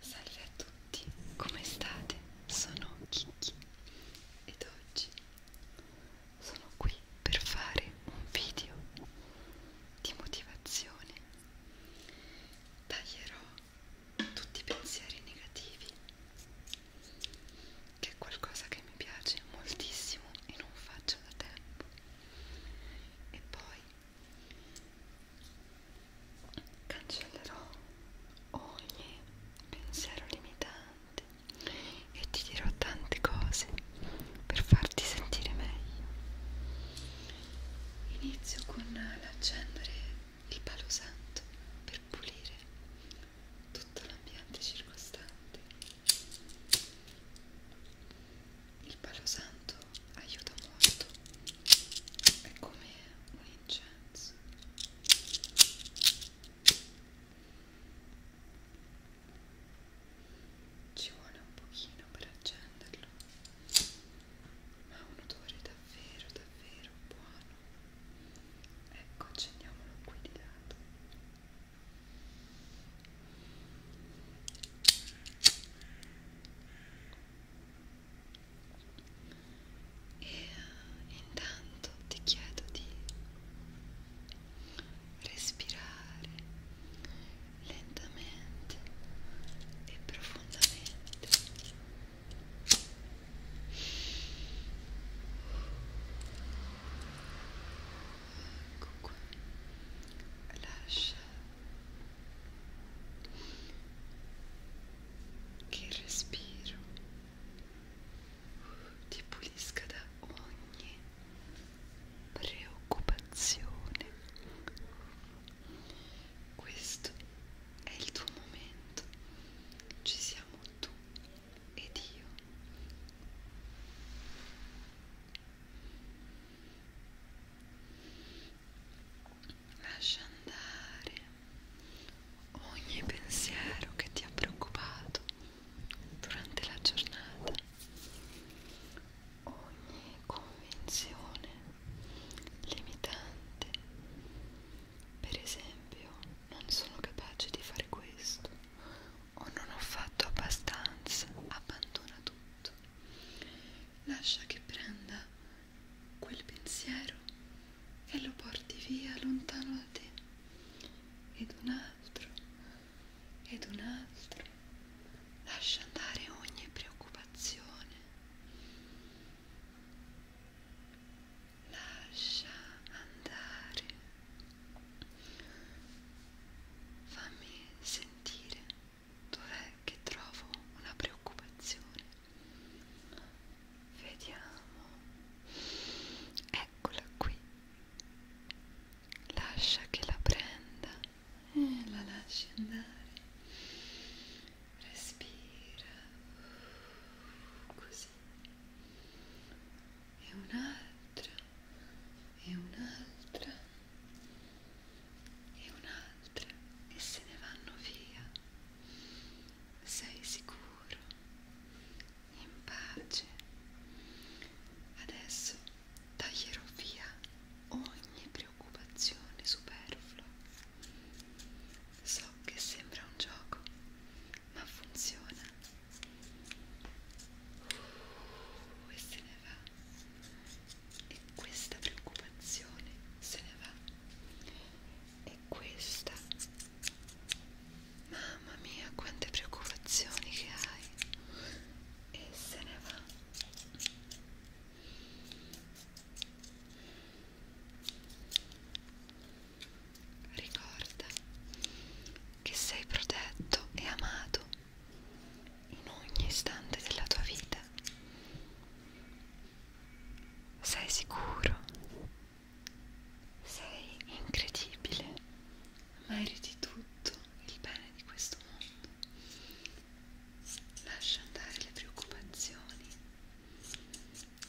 Salve a tutti, come state? Sono Kiki ed oggi sono qui per fare un video di motivazione. Taglierò tutti i pensieri negativi, che è qualcosa che mi piace moltissimo e non faccio da tempo. E poi Cancellerò ogni pensiero limitante e ti dirò tante cose per farti sentire meglio. Inizio con l'accendere il palo santo per pulire tutto l'ambiente circostante. Il palo santo aiuta molto è come un incenso ci vuole un pochino per accenderlo ma ha un odore davvero davvero buono ecco accendiamolo qui di lato e intanto ti chiedo di respirare lentamente e profondamente comunque lascia che il respiro ti pulisca da ogni preoccupazione questo è il tuo momento ci siamo tu ed io Lascia andare ogni pensiero che ti ha preoccupato durante la giornata, ogni convinzione limitante. Per esempio, non sono capace di fare questo o non ho fatto abbastanza, abbandona tutto. Lascia che prenda quel pensiero e lo porti via lontano da te. Ed un altro, ed un altro. Lascia andare ogni preoccupazione. Lascia andare Fammi sentire dov'è che trovo una preoccupazione. Vediamo. Eccola qui. Lascia che la prenda e la lasci andare. Respira. Così. E un'altra un'altra e un'altra e un'altra e se ne vanno via. Sei sicuro, in pace. Adesso taglierò via ogni preoccupazione superflua. So che sembra un gioco, ma funziona uh, e se ne va e questa preoccupazione se ne va e questa mamma mia quante preoccupazioni che hai e se ne va Ricorda che sei protetto e amato in ogni istante della tua vita. Sei sicuro, sei incredibile, meriti tutto il bene di questo mondo. Lascia andare le preoccupazioni,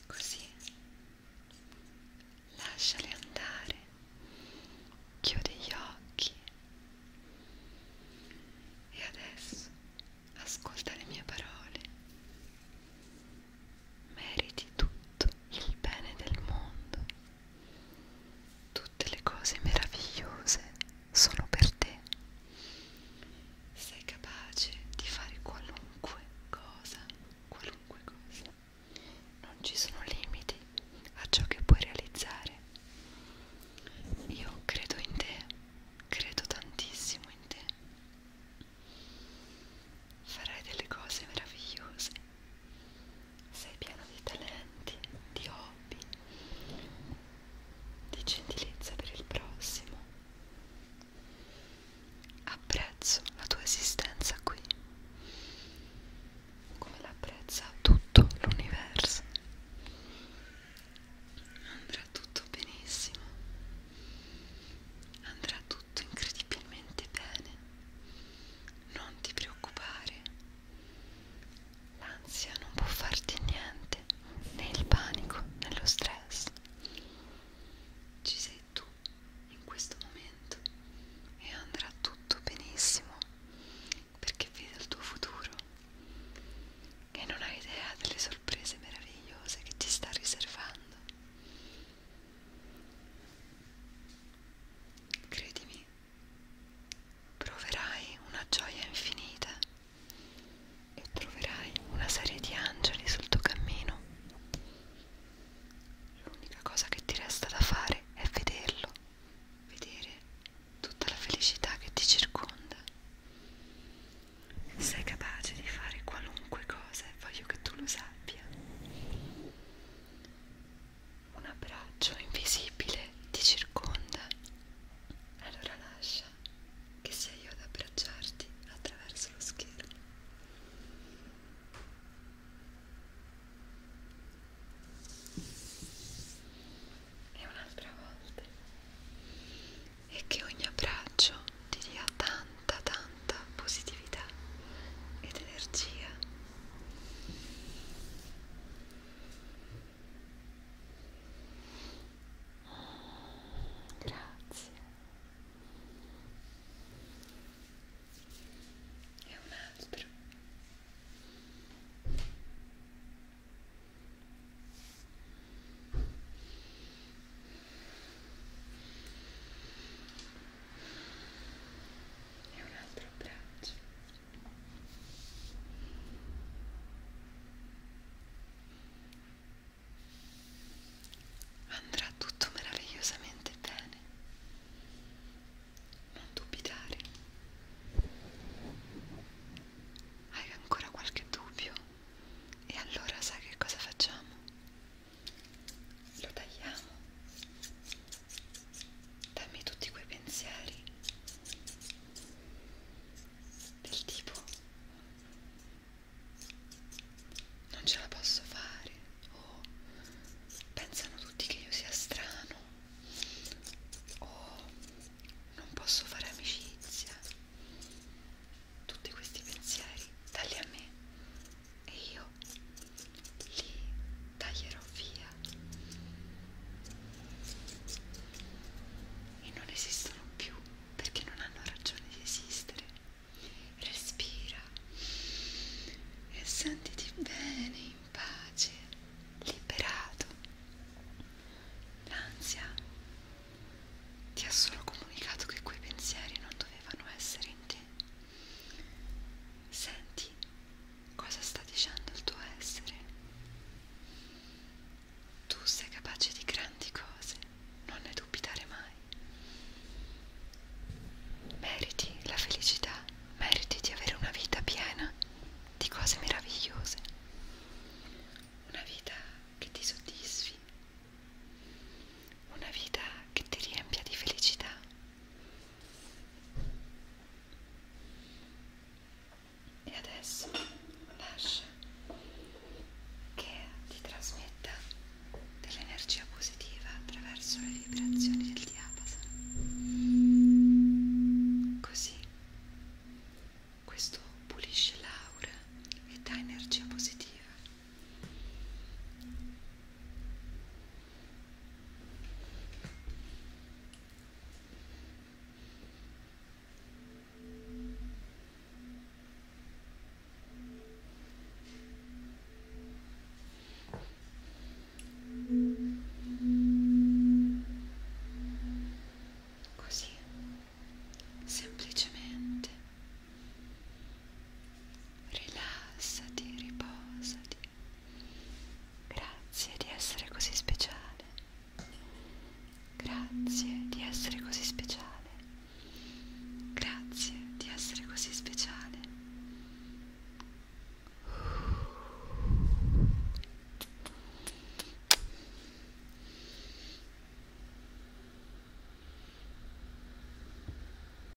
così lasciali andare, chiudi gli occhi e adesso ascolta le mie parole. Meriti tutto il bene del mondo, tutte le cose meravigliose sono per te sei capace di fare qualunque cosa, qualunque cosa. Non ci sono limiti a ciò che puoi realizzare. Io credo in te, credo tantissimo in te. Farai delle cose meravigliose. Sei pieno di talenti, di hobby, di gentilezza per il prossimo. Apprezzo la tua esistenza qui, come l'apprezza tutto l'universo. Andrà tutto benissimo, andrà tutto incredibilmente bene. Non ti preoccupare, l'ansia non può farti niente, né il panico, né lo stress. Ci sei tu in questo momento e andrà tutto benissimo perché vedi il tuo futuro e non hai idea delle sorprese meravigliose che ti sta riservando. Credimi, proverai una gioia infinita e troverai una serie di angeli sul tuo cammino. L'unica cosa che ti resta da fare è vederlo, vedere tutta la felicità che ti circonda. Sei capace di fare qualunque cosa e voglio che tu lo sappia. Un abbraccio invisibile ti circonda. Allora lascia che sia io ad abbracciarti attraverso lo schermo. E un'altra volta. E che ogni abbraccio ti dia tanta, tanta positività ed energia. Grazie. E un altro. E un altro braccio. Andrà tutto meravigliosamente bene. Non dubitare. Hai ancora qualche dubbio? E allora sai che cosa facciamo? Lo tagliamo. Dammi tutti quei pensieri del tipo non ce la posso fare o pensano tutti che io sia strano o non posso fare amicizia tutti questi pensieri tagli a me e io li taglierò via e non esistono più perché non hanno ragione di esistere. Respira e sentiti bene, in pace, liberato. L'ansia ti ha solo comunicato che quei pensieri non dovevano essere in te. Senti cosa sta dicendo il tuo essere. Tu sei capace di grandi cose, non ne dubitare mai. Meriti la felicità, meriti di avere una vita piena di cose meravigliose, una vita che ti soddisfi, una vita che ti riempia di felicità e adesso lascia che ti trasmetta dell'energia positiva attraverso le vibrazioni del diapason così questo pulisce l'aura e dà energia positiva Così, semplicemente rilassati, riposati, Grazie di essere così speciale. Grazie di essere così speciale. Grazie di essere così speciale.